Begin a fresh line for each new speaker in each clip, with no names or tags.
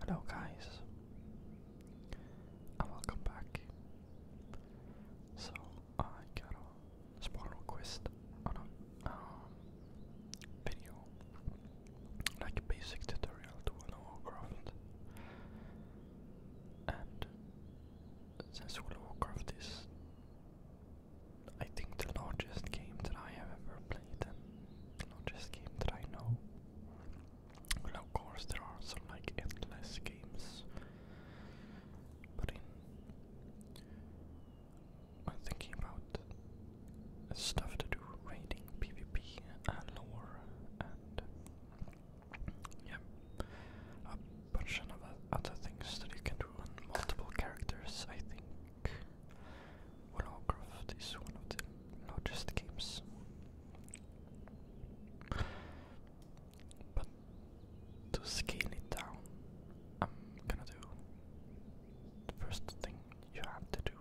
Hello guys and welcome back. So I got a small request on a um, video, like basic tutorial to World of Warcraft. And since World of Warcraft is, I think, the largest game that I have ever played the largest game that I know. Well, of course, there are some like endless games, but in when thinking about stuff to do, raiding, PvP, and lore, and yeah, a bunch of other things that you can do on multiple characters, I think Warcraft is one of the largest games. But to scale it down, I'm gonna do the first thing you have to do,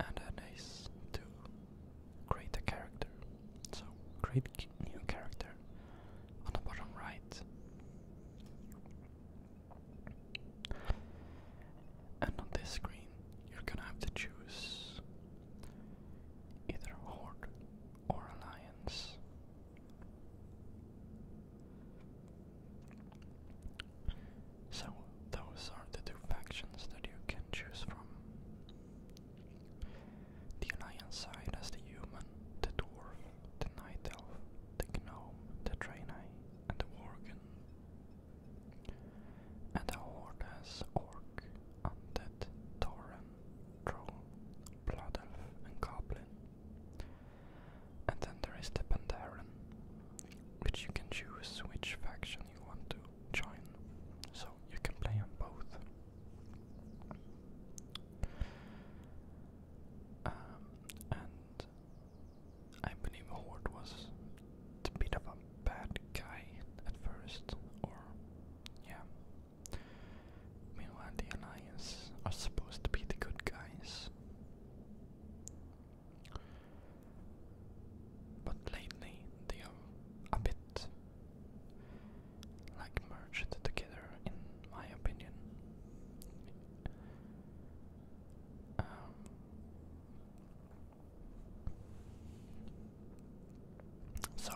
and that is to create a character. So, create new character on the bottom right. And on this screen, you're gonna have to choose either Horde or Alliance. So, those are the two factions that you can choose from. The Alliance side has the human, the dwarf, the night elf, the gnome, the draenei, and the worgen. And a horde orc, undead, tauren, troll, blood elf, and goblin. And then there is the Pandaren, which you can choose which faction you want to join, so you can play on both. Um, I believe Horde was a bit of a bad guy at first, or yeah. Meanwhile, the Alliance are supposed to be the good guys. But lately, they are a bit like merged together, in my opinion. Um, so,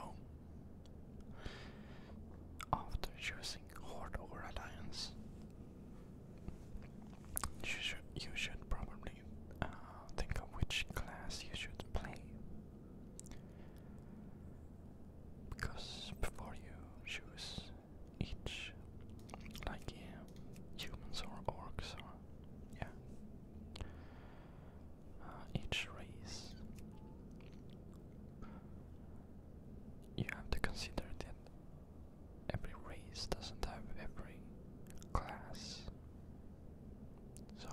after choosing Horde or Alliance, you should, you should probably uh, think of which class you should play. Because before you choose each, like humans or orcs or yeah, uh, each race. You have to consider that every race doesn't have every class. So,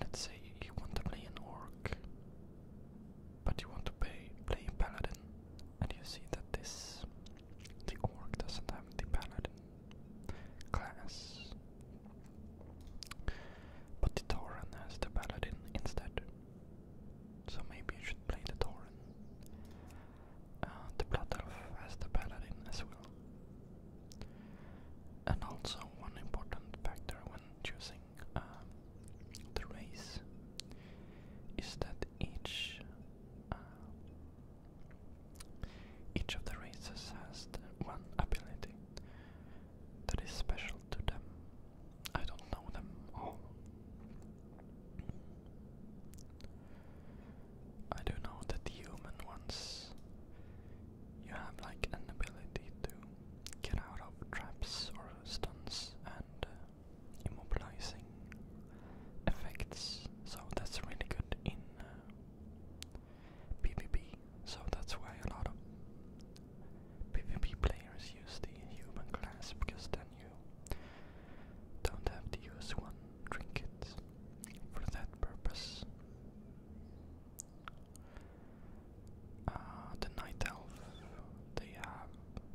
let's say you want to play an orc but you want to play, play paladin, and you see that this the orc doesn't have the paladin class, but the tauren has the paladin instead. So maybe you should play the tauren. Uh, the blood elf has the paladin as well. And also one important factor when choosing um, the race is that each uh, each of the races has one ability that is special to them. I don't know them all. I do know that the human ones you have like an ability to get out of traps or stuns and uh, immobilizing effects, so that's really good in PvP. Uh, so that's why a lot of PvP players use the human class because then you don't have to use one trinket for that purpose. Uh, the Night Elf they have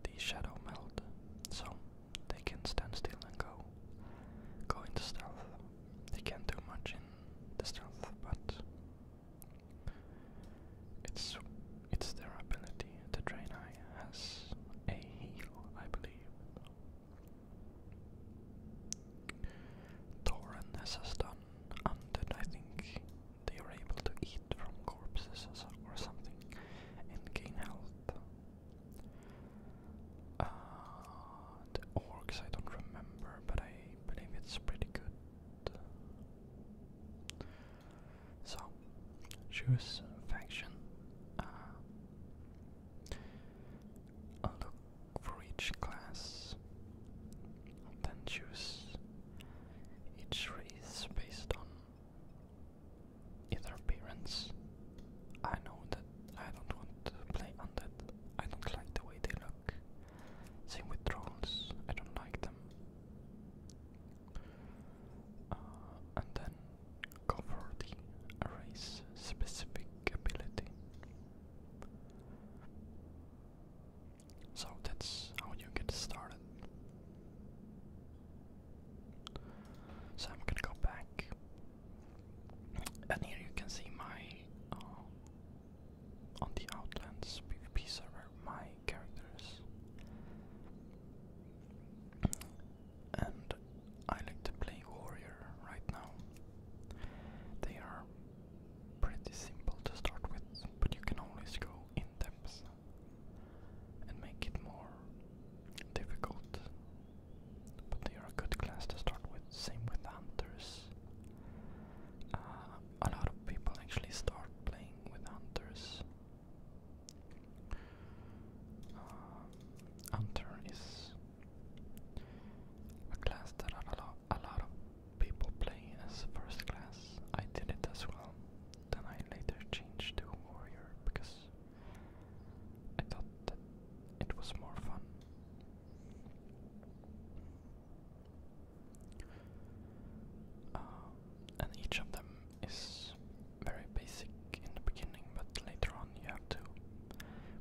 the shadow meld, so they can stand still and go go into stealth. They can't do much in the stealth, but it's it's their ability. The drain eye has a heal, I believe. Thorin has undead, I think they are able to eat from corpses or something and gain health. Uh, the orcs, I don't remember, but I believe it's pretty good. So, choose faction. Uh, look for each class, then choose each race based on either appearance. I know that I don't want to play on that. I don't like the way they look. Same with drones. I don't like them. Uh, and then go for specific ability. So that's how you get started. So I'm gonna go back, and here you can see my uh, on the Outlands PvP server my characters, and I like to play warrior right now. They are pretty simple to start with, but you can always go in depth and make it more difficult. But they are a good class to start with. Same with hunters. Uh, a lot of people actually start playing with hunters. Uh, hunter is a class that a lot, a lot of people play as first class. I did it as well. Then I later changed to warrior because I thought that it was more fun. Uh, and each of them is very basic in the beginning, but later on you have to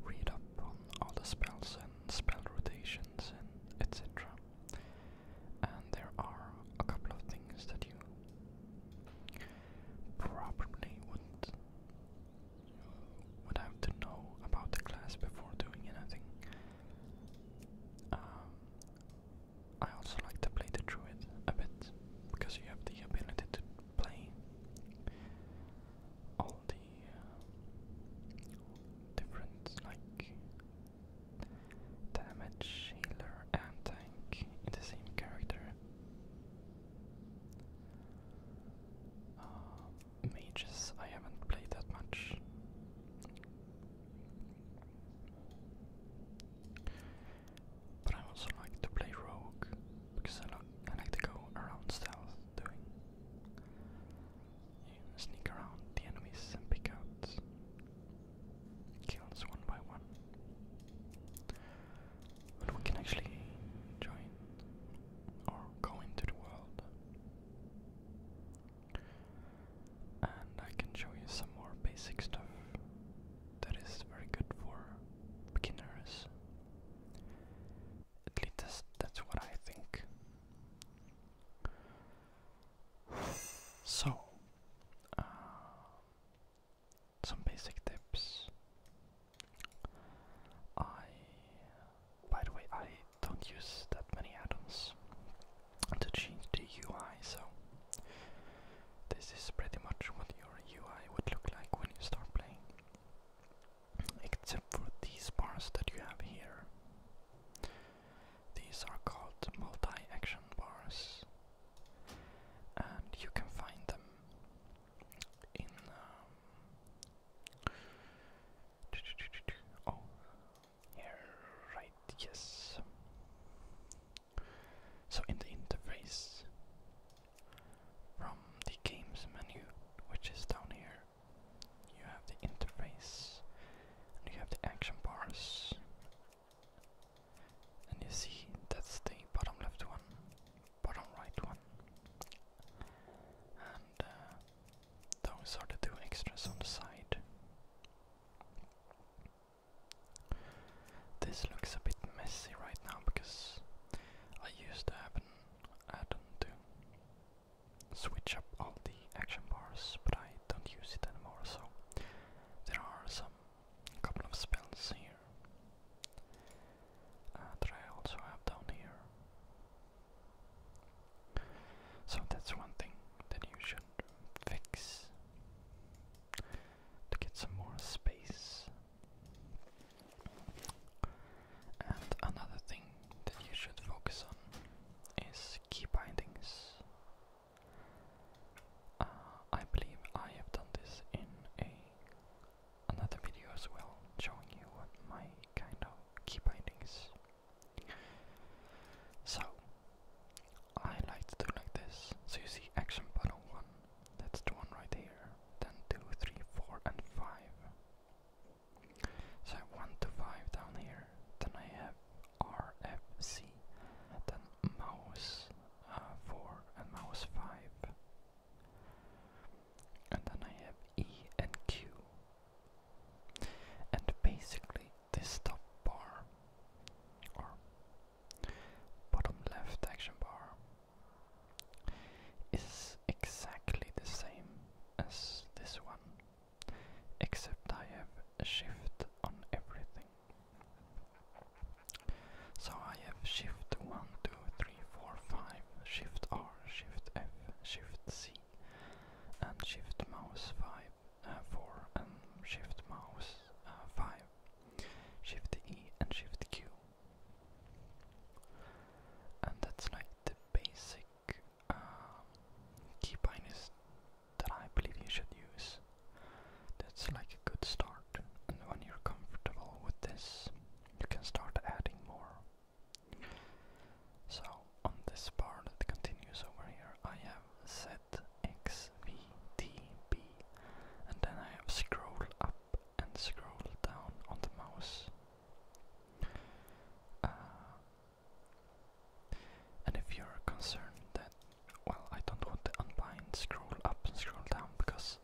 read up on all the spells and spell rotations and etc and there are a couple of things that you probably would would have to know about the class before doing anything. Um, I also like to play the druid a bit because you have the ability to play all the uh, different like Damage, healer, and tank in the same character. Uh, mages, I haven't played that much. But I also like to play rogue because I, like to go around stealth, doing sneak around the enemies and pick kills one by one. But we can actually join or go into the world. And I can show you some more basic stuff that is very good for beginners. At least that's, what I think. So, uh, some basic tips. I, by the way, I don't use that many add to change the UI, so this is pretty much what your UI would look like when you start playing, except for these bars that you have here. These are called multi-action bars, and you can find them in. Um, oh, here, right? Yes. So in the interface from the games menu, which is down here, you have the interface, and you have the action bars, and you see, that's the bottom left one, bottom right one. And uh, those are the two extras on the side. This looks a bit messy right now because I used to have an add to switch up all the action bars, but I don't use it anymore, so there are some couple of spells here uh, that I also have down here. So that's one thing that you should fix to get some more space. And another thing that you should focus on is key bindings. Uh, I believe I have done this in a another video as well, showing you what my kind of key bindings. So I like to do like this. So you see action button one, that's the one right here. Then two, three, four, and five. So I have one to five down here. Then I have R F C. Then mouse uh, 4 and mouse 5. And then I have E and Q. And basically, this top bar, or bottom left action bar, is exactly the same as this one, except I have a shift on everything. So I have shift 1, shift R, shift F, shift C, and shift mouse 5, uh, 4, and shift mouse uh, 5, shift E, and shift Q. And that's like the basic uh, that I believe you should use. That's like a good start, and when you're comfortable with this, you can start adding more. So, on this bar that continues over here, I have set X, V, T, B, and then I have scroll up and scroll down on the mouse. Uh, and if you're concerned that, well, I don't want to unbind, scroll up and scroll down because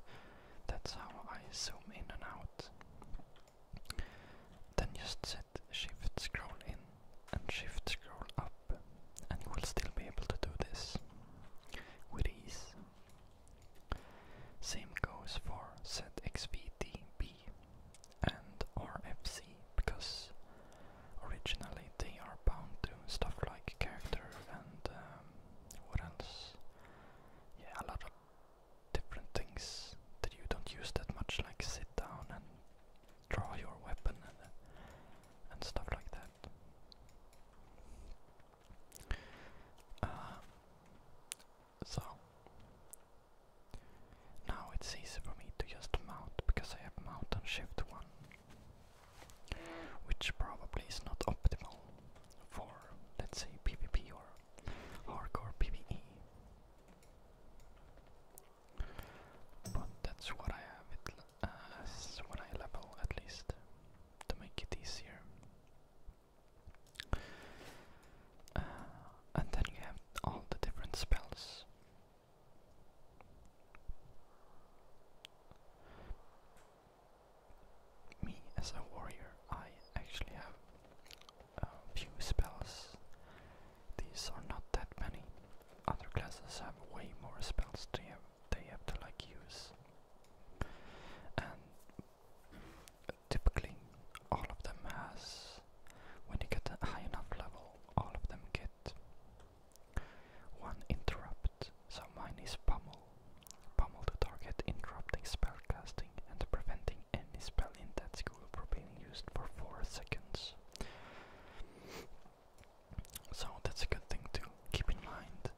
that's how I zoom in and out, then just set shift scroll in and shift scroll up, and you will still be able to do this with ease. Same goes for set XVDB and RFC because originally they are bound to stuff like character and um, Yeah, a lot of different things that you don't use that much, like sit down and draw your weapon and, stuff like that. Uh, so now it's easy for me to just mount because I have mount and shift one which probably is not optimal for, let's say, PvP or hardcore PvE. But that's what I have as uh, I level at least to make it easier. Uh, and then you have all the different spells me as a warrior, I actually have a uh, few spells. These are not that many. Other classes have way more spells they have, they have to like use. And typically all of them has when you get a high enough level all of them get one interrupt, so mine is pummel. Pummel the target, interrupting spell casting and preventing any spell in that school from being used for 4 seconds. So that's a good thing to keep in mind.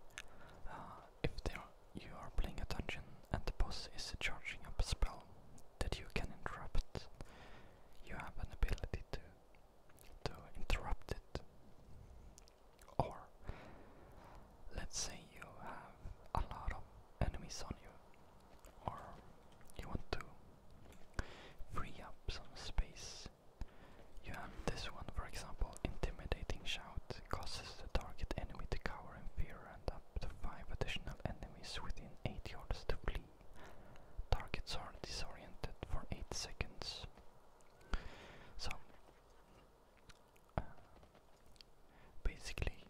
Uh, if there you are playing a dungeon and the boss is charging up a spell that you can interrupt, you have an ability to to interrupt it. Or let's say you have a lot of enemies on you, or you want to free up some space. You have this one, for example, intimidating shout causes the target enemy to cower in fear and up to five additional enemies within eight yards to flee targets are disoriented for 8 seconds. So, basically,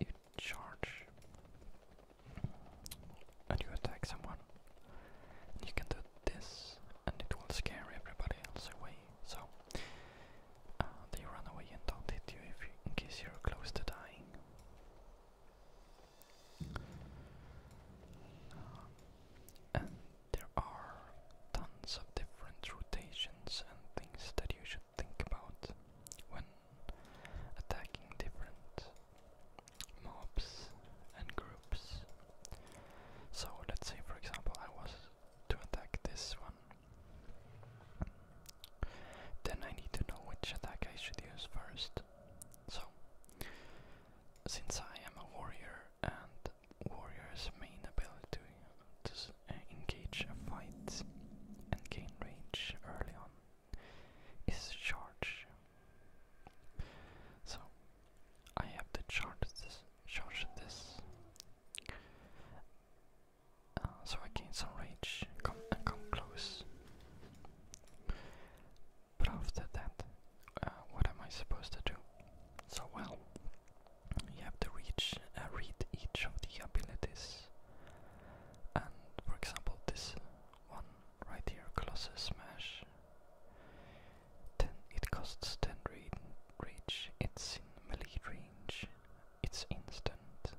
you, charge and you attack someone. You can do this, and it will scare everybody else away. So uh, they run away and don't hit you, if in case you're close to dying. Uh, and there are tons of different rotations and things that you should think about when attacking different mobs and groups. So let's say for example I was to attack this one. Then I need to know which attack I should use first. So, since I am a warrior and warrior's main ability to uh, engage a fight and gain range early on is charge. So, I have to charge this. Charge this. Uh, so I gain some rage come, and uh, come close. But after that, uh, what am I supposed to do? So well, you have to reach uh, read each of the abilities. And for example, this one right here, Closer Smash. Ten, it costs 10 read, reach, it's in melee range, it's instant,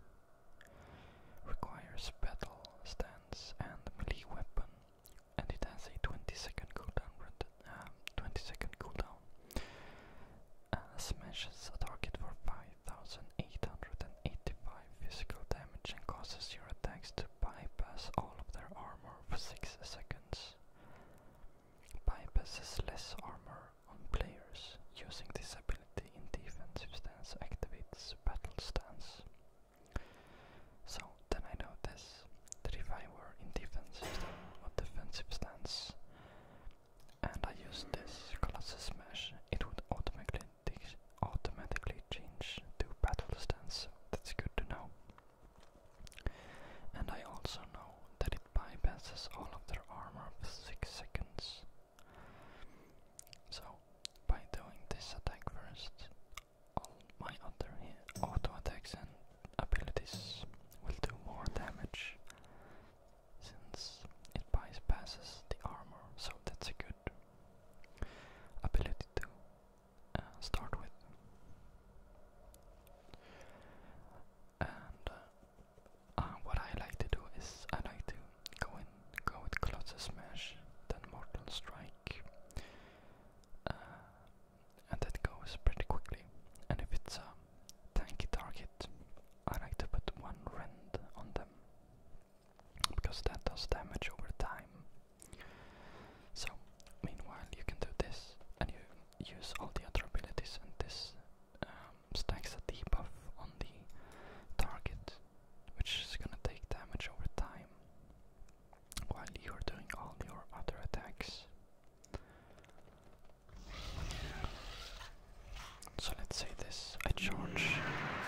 Requires battle stance and melee weapon, and it has a 20 second cooldown. Uh, 20 second cooldown. Uh, smashes a target for 5885 physical damage and causes your attacks to bypass all of their armor for 6 seconds. Bypasses less armor on players. Using this ability in defensive stance activates battle stance. So then I know this that if I were in defense system defensive stance and I use this Colossus Smash, it would automatically automatically change to battle stance, so that's good to know. And I also know that it bypasses all of their armor for 6 seconds. So, by doing this attack first, all my other auto attacks and abilities will do more damage since it bypasses the armor, so that's a good ability to uh, start with. And uh, uh, what I like to do is I like to Go, in, go with Colossus Smash, then Mortal Strike. Uh, and that goes pretty quickly. And if it's a tanky target, I like to put one rend on them. Because that does damage over time. So, meanwhile, you can do this, and you use all the other abilities, and this um, stacks a debuff on the target which is gonna take damage over time while you're doing all your other attacks. So let's say this, I charge,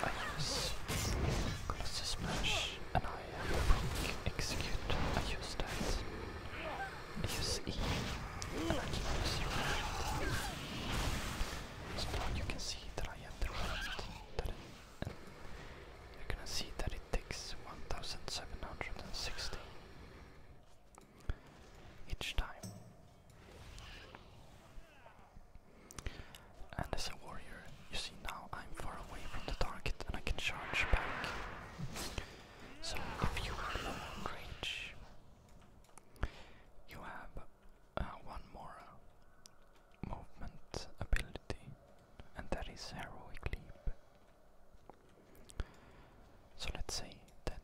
I use Colossus Smash, and I execute, I use that, I use E, So now you can see that I have the you're gonna see that it takes 1760 each time. And as a warrior, you see now I'm far away from the target and I can charge back. So if you are low range, you have uh, one more movement ability, and that is Heroic Leap. So let's say that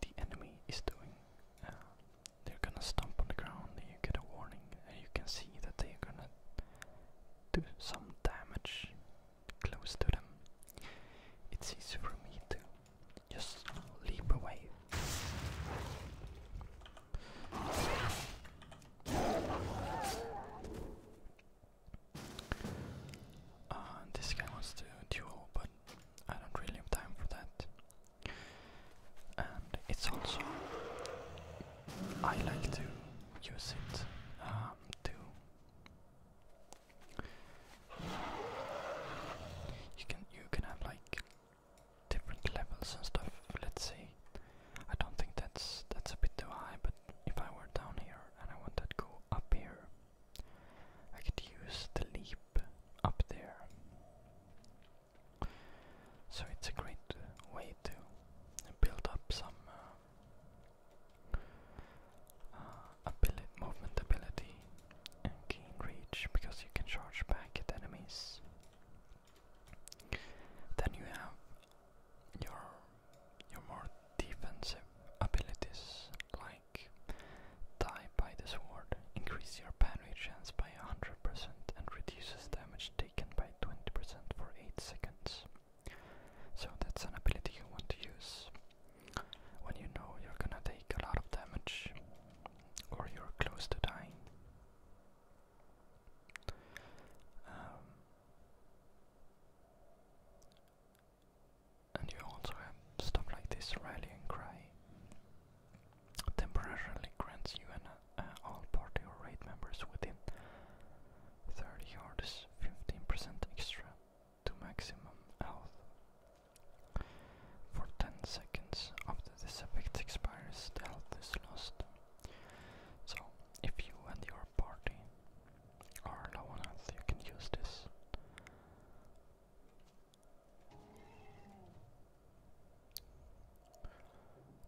the enemy is doing, uh, they're gonna stomp on the ground, and you get a warning, and you can see that they're gonna do some damage close to them. It's easy for me to just leap away. Uh, this guy wants to duel, but I don't really have time for that. And it's also I like to use it um, to. You can you can have like different levels and stuff. Let's see. I don't think that's that's a bit too high, but if I were down here and I want to go up here, I could use the leap up there. So it's a great way to build up some uh, uh movement ability and gain reach because you can charge back at enemies. Then you have your your more defensive abilities like die by the sword, increase your parry chance by 100% and reduces damage taken by 20% for 8 seconds. So that's an ability you want to use when you know you're gonna take a lot of damage or you're close to dying. Um, and you also have stuff like this rallying cry temporarily grants you and uh, all party or raid members within 30 yards 15% extra to maximum health. For 10 seconds after this effect expires, the health is lost. So, if you and your party are low on health, you can use this.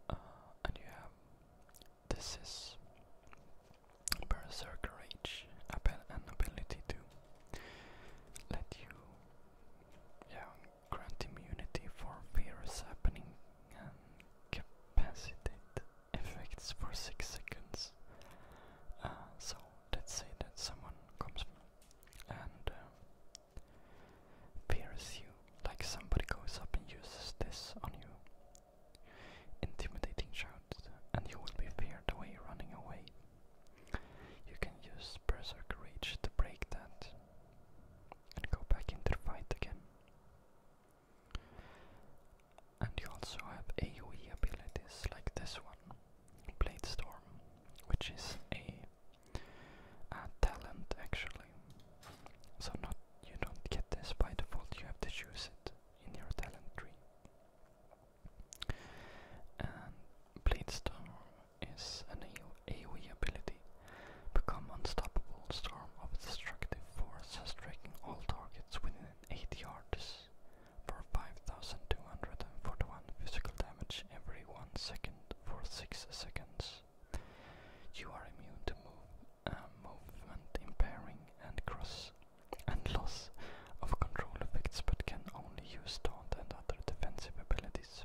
Uh, and you have this is Berserker Rage, an ability to let you yeah, grant immunity for virus happening and capacitate effects for 6 seconds. Uh, so let's say that someone comes and fears uh, you, like somebody goes up and uses this on you. Intimidating shout, and you will be feared away running away. You can use Berserk Rage to break that and go back into the fight again. And you also have AoE abilities like this one, Blade Storm, which is a, talent actually. So not you don't get this by default, you have to choose it in your talent tree. And Blade Storm is an AoE ability. Become unstoppable storm of destructive force, striking all targets within 8 yards for 5241 physical damage every 1 second for 6 seconds. You are immune to move, uh, movement impairing and cross and loss of control effects but can only use taunt and other defensive abilities.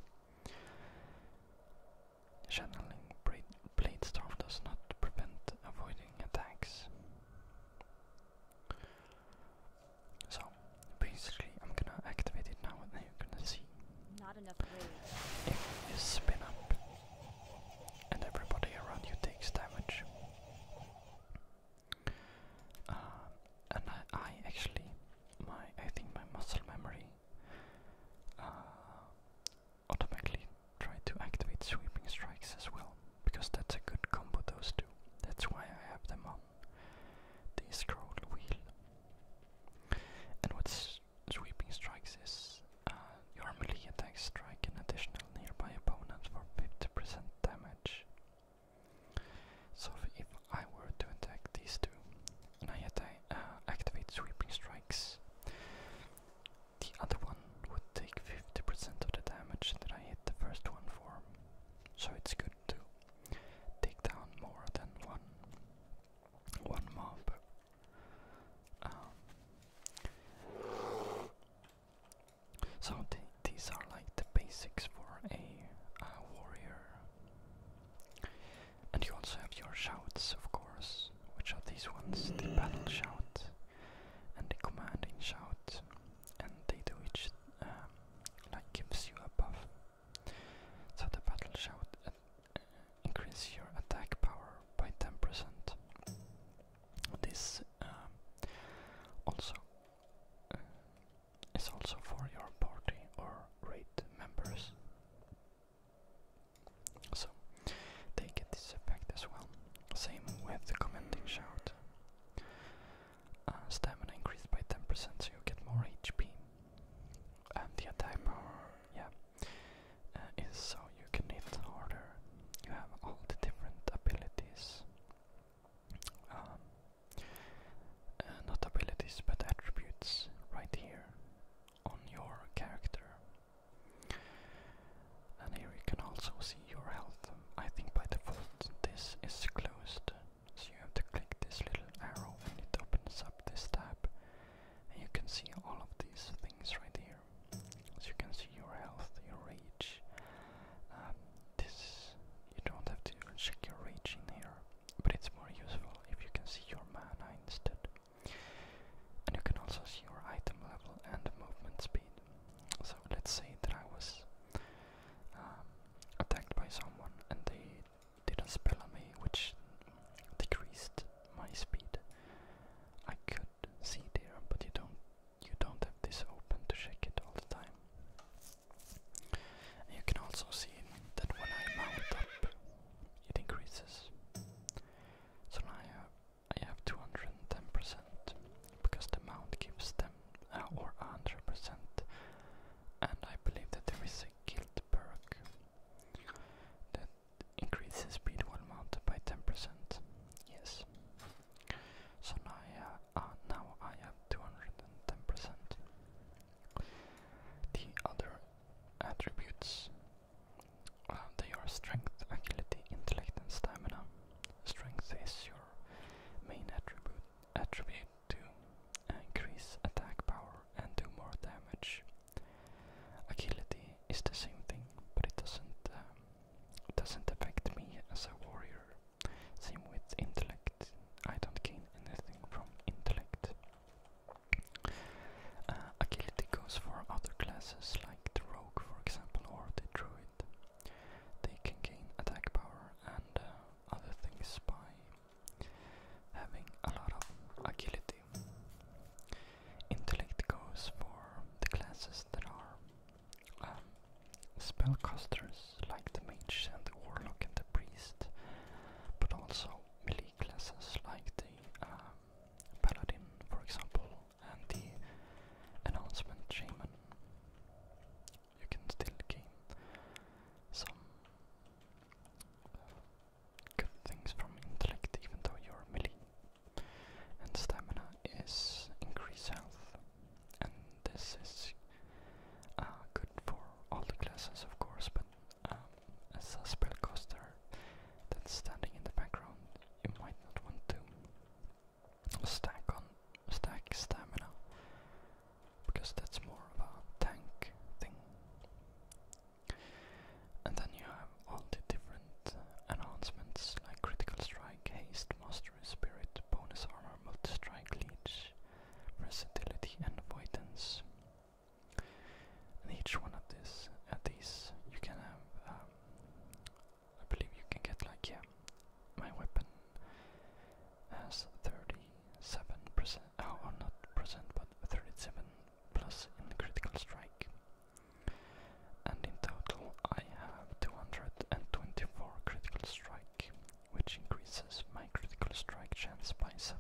Channeling Blade storm does not prevent avoiding attacks. So basically, I'm gonna activate it now, and you're gonna see. Not spin up, and everybody around you takes damage. Uh, and I, actually my I think my muscle memory uh, automatically tried to activate sweeping strikes as well because that's a good combo those two. That's why I have them on the scroll wheel. And what's sweeping strikes is uh, your melee attacks strike an additional nearby opponent for 50% damage. So if I were to attack these two, and I attack, uh, activate sweeping strikes, the other one would take 50% of the damage that I hit the first one for. So it's good to take down more than one one mob. Um, so these are like the basics for a warrior and you also have your shouts, of course, which are these ones the battle shout and the commanding shout, and they do each um, like gives you a buff. So the battle shout uh, increases your attack power by 10%. This um, also uh, it's also for your party or raid members. So they get this effect as well. Same with the commenting shout. Uh, stamina increased by 10% so you get more HP. And the attack power, yeah, uh, is so you can hit harder. You have all the different abilities. Um, uh, not abilities but attributes right here on your character. And here you can also see your health. I think by default this is closed, so you have to click this little arrow and it opens up this tab. And you can see all of these things right here. So you can see your health, your rage. Um, this you don't have to check your rage in here but it's more useful if you can see your mana instead. And you can also see your item level and movement speed. So let's say that I was um, attacked by someone and they did a spell on me which decreased my speed. I could see there, but you don't you don't have this open to check it all the time. You can also see that when I mount up, it increases. So now I have, 210% because the mount gives them, uh, or 100%, and I believe that there is a guild perk that increases speed while mounted by 10%. Yes. So now I, uh, uh, now I have 210%. The other attributes they are strength, agility, intellect, and stamina. Strength is your main attribute to increase attack power and do more damage. Agility is the same thing, but it doesn't um, doesn't affect me as a warrior. Same with intellect. I don't gain anything from intellect. Uh, agility goes for other classes like the rogue, for example, or the druid. They can gain attack power and uh, other things by having a lot of agility. Intellect goes for the classes that are um, spellcasters classes like the mage and the warlock and the priest, but also melee classes like the um, paladin, for example, and the announcement shaman. You can still gain some uh, good things from intellect, even though you're melee, and stamina is increased health, and this is uh, good for all the classes of course, but as um, a spellcaster that's standing in the background, you might not want to stack on stack stamina because that's more of a tank thing. And then you have all the different uh, enhancements like critical strike, haste, mastery, spirit, bonus armor, multi-strike, leech, versatility, and avoidance. And each one of this, at these, you can have. Um, I believe you can get like yeah, my weapon has thirty-seven percent. Oh, or oh, not percent, but thirty-seven plus in critical strike. And in total, I have two hundred and twenty-four critical strike which increases my critical strike chance by 7%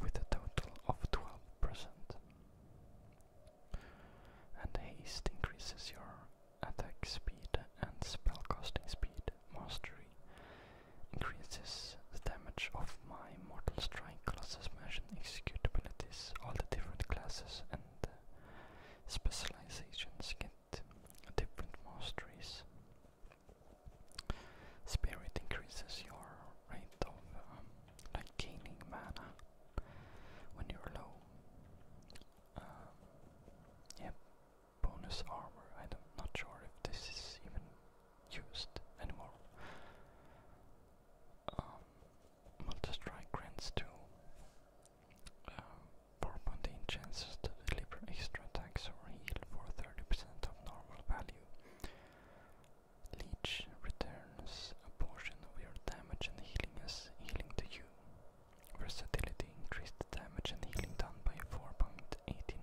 with a total of 12%. And haste increases your attack speed and spell casting speed. Mastery increases the damage of my mortal strike classes mentioned execute abilities. All the different classes and specializations can different masteries. Spirit increases your rate of um, like gaining mana when you're low. Um, bonus armor. I'm not sure if this is even used anymore. Um, grants two 4.8 chances to deliver extra attacks or heal for 30% of normal value. Leech returns a portion of your damage and healing as healing to you. Versatility increased damage and healing done by 4.89%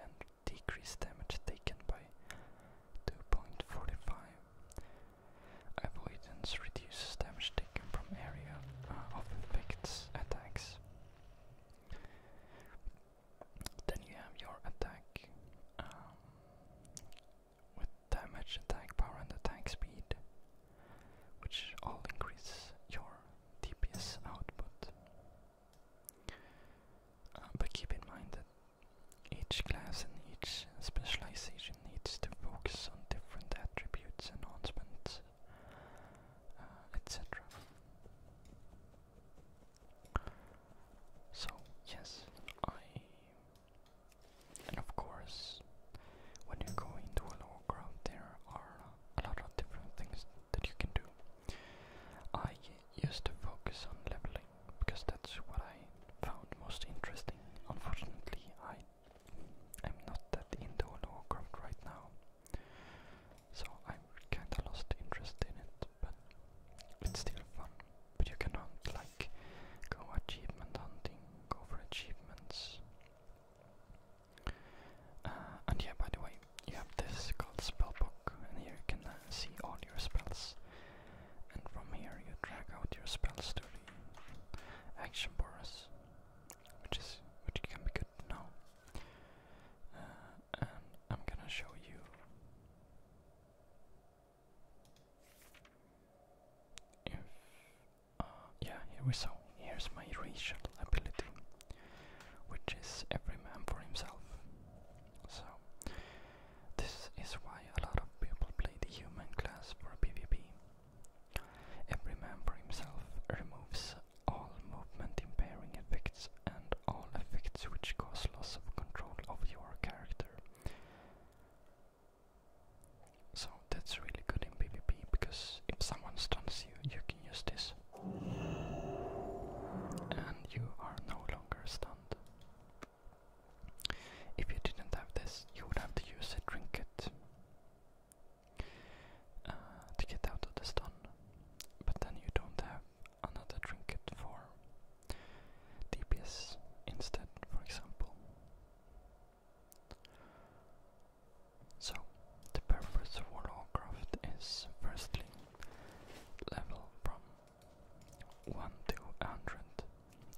and decreased damage taken by 2.45. Avoidance reduces damage taken from area uh, of effects attacks then you have your attack um, with damage, attack power, and attack speed, which all increase your DPS output. Uh, but keep in mind that each class and each specialization needs to focus on different attributes and enhancements uh, etc. So, yes, I. And of course, when you go into a lower ground, there are a lot of different things that you can do. I used to focus on leveling because that's what I found most interesting. Unfortunately, I I'm not that into Warcraft right now, so I'm kinda lost interest in it, but it's still fun. But you can hunt, like, go achievement hunting, go for achievements. Uh, and yeah, by the way, you have this called Spellbook, and here you can uh, see all your spells. And from here you drag out your spell study action bars which is which can be good to uh, and I'm gonna show you uh, yeah here we go. Here's my racial ability, which is every man for himself. So this is why a lot of people play the human class for PvP. Every man for himself removes all movement impairing effects and all effects which cause loss of control of your character. So that's really good in PvP because if someone stuns you, you can use this. And you are no longer stunned. If you didn't have this, you would have to use a trinket uh, to get out of the stun, but then you don't have another trinket for DPS instead, for example. So, the purpose of craft is firstly level from 1 to 100.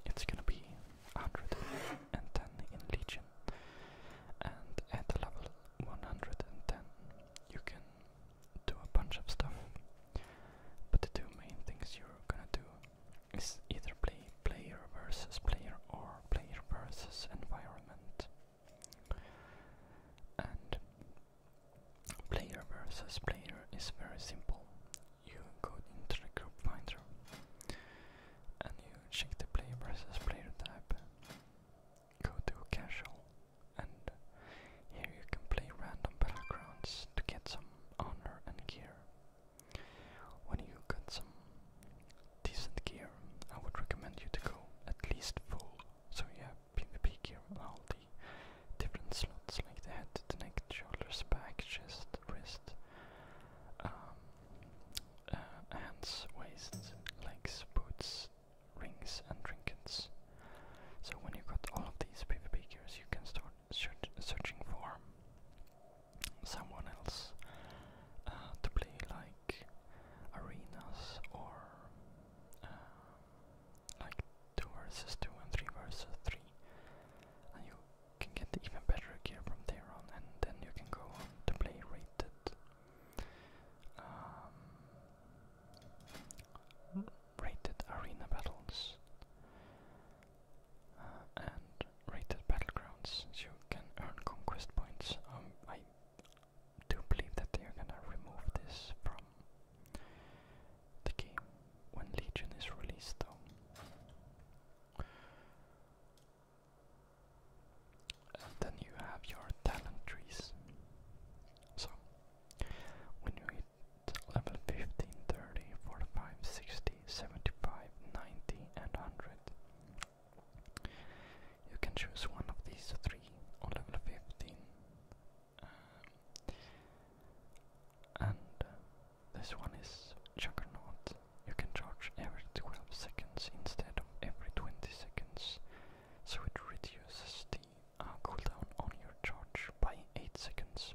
It's gonna be 100 and ten in Legion. And at level 110 you can do a bunch of stuff. But the two main things you're gonna do is either play player versus player or player versus environment. And player versus player is very simple. You go into the group finder and you check the player versus player type. Go to casual, and here you can play random backgrounds to get some honor and gear. When you got some decent gear, I would recommend you to go at least full, so you have PvP gear on all the different slots like the head, the neck, shoulders, back, chest, wrist, um, uh, hands, waist, legs, boots, rings, and trinkets. So when you have got all of these PvP gears, you can start searching for someone else uh, to play like arenas or uh, like two versus two and three versus three, and you can get even better gear from there on, and then you can go on to play raid um, rated arena battles uh, and rated battlegrounds. You can earn conquest points. Um, I do believe that they are gonna remove this from the game when Legion is released, though and then you have your talent trees. So, when you hit level 15, and 100, you can choose one of these three on level 15. Um, and uh, this one is Juggernaut, you can charge every 12 seconds instead of every 20 seconds, so it reduces the uh, cooldown on your charge by 8 seconds.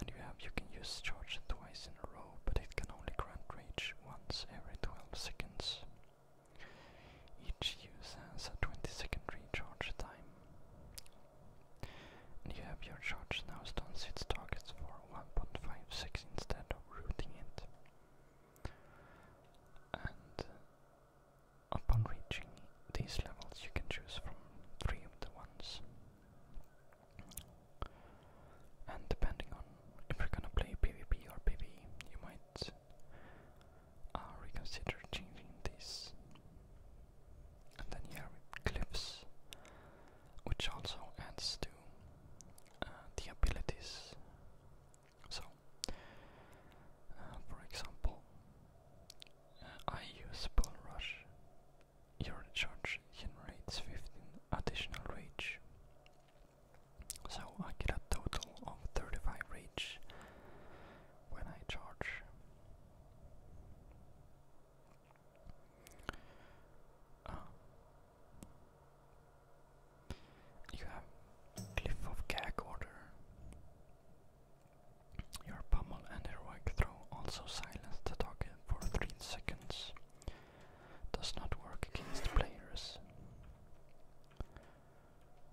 And you have you can use charge twice in a row, but it can only grant rage once every 12 seconds. Each use has a 20 second recharge time. And you have your charge now stuns its targets for 1.56 instead of routing it. And uh, upon reaching these levels, you can choose from three of the ones. And depending on if you're gonna play PvP or PvE, you might uh, reconsider changing this. And then here with cliffs, which also adds to uh, the abilities. So, uh, for example, uh, I use Bull Rush. Your charge generates 15 additional rage. So I get a total of 35 rage when I charge. Oh. you have Cliff of Gag Order. Your pummel and heroic throw also silence the target for 3 seconds. Does not work against players.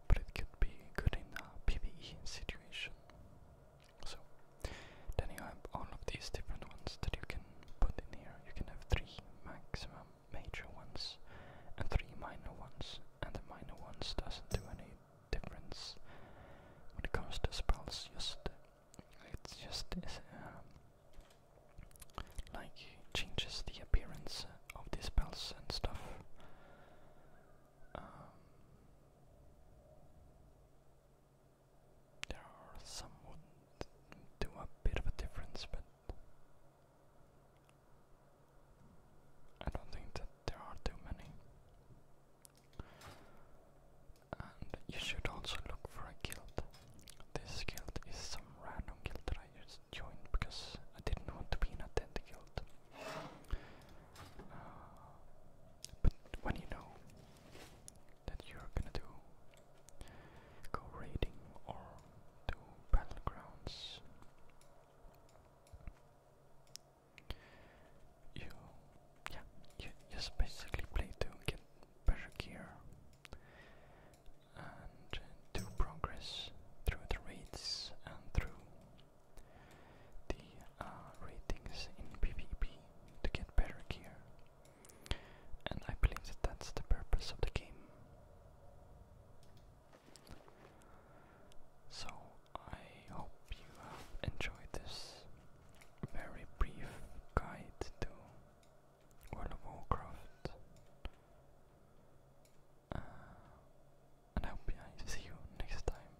But it could be good in a PvE situation. So, then you have all of these different ones that you can put in here. You can have three maximum major ones and three minor ones, and the minor ones doesn't do any difference when it comes to spells. Just it's just uh, like changes the appearance of the spells and stuff. Um, there are some would do a bit of a difference, but I don't think that there are too many. And you should also look for a guild. This guild is some random guild that I just joined because I didn't want to be in a dead guild. Uh, but when you know that you're gonna do. Go raiding or do battlegrounds. You, yeah, you just basically play to get better gear and to progress through the raids and through the uh, ratings in PvP to get better gear and I believe that that's the purpose of the game. So I hope you have enjoyed this very brief guide to World of Warcraft. Uh, and I hope I see you next time.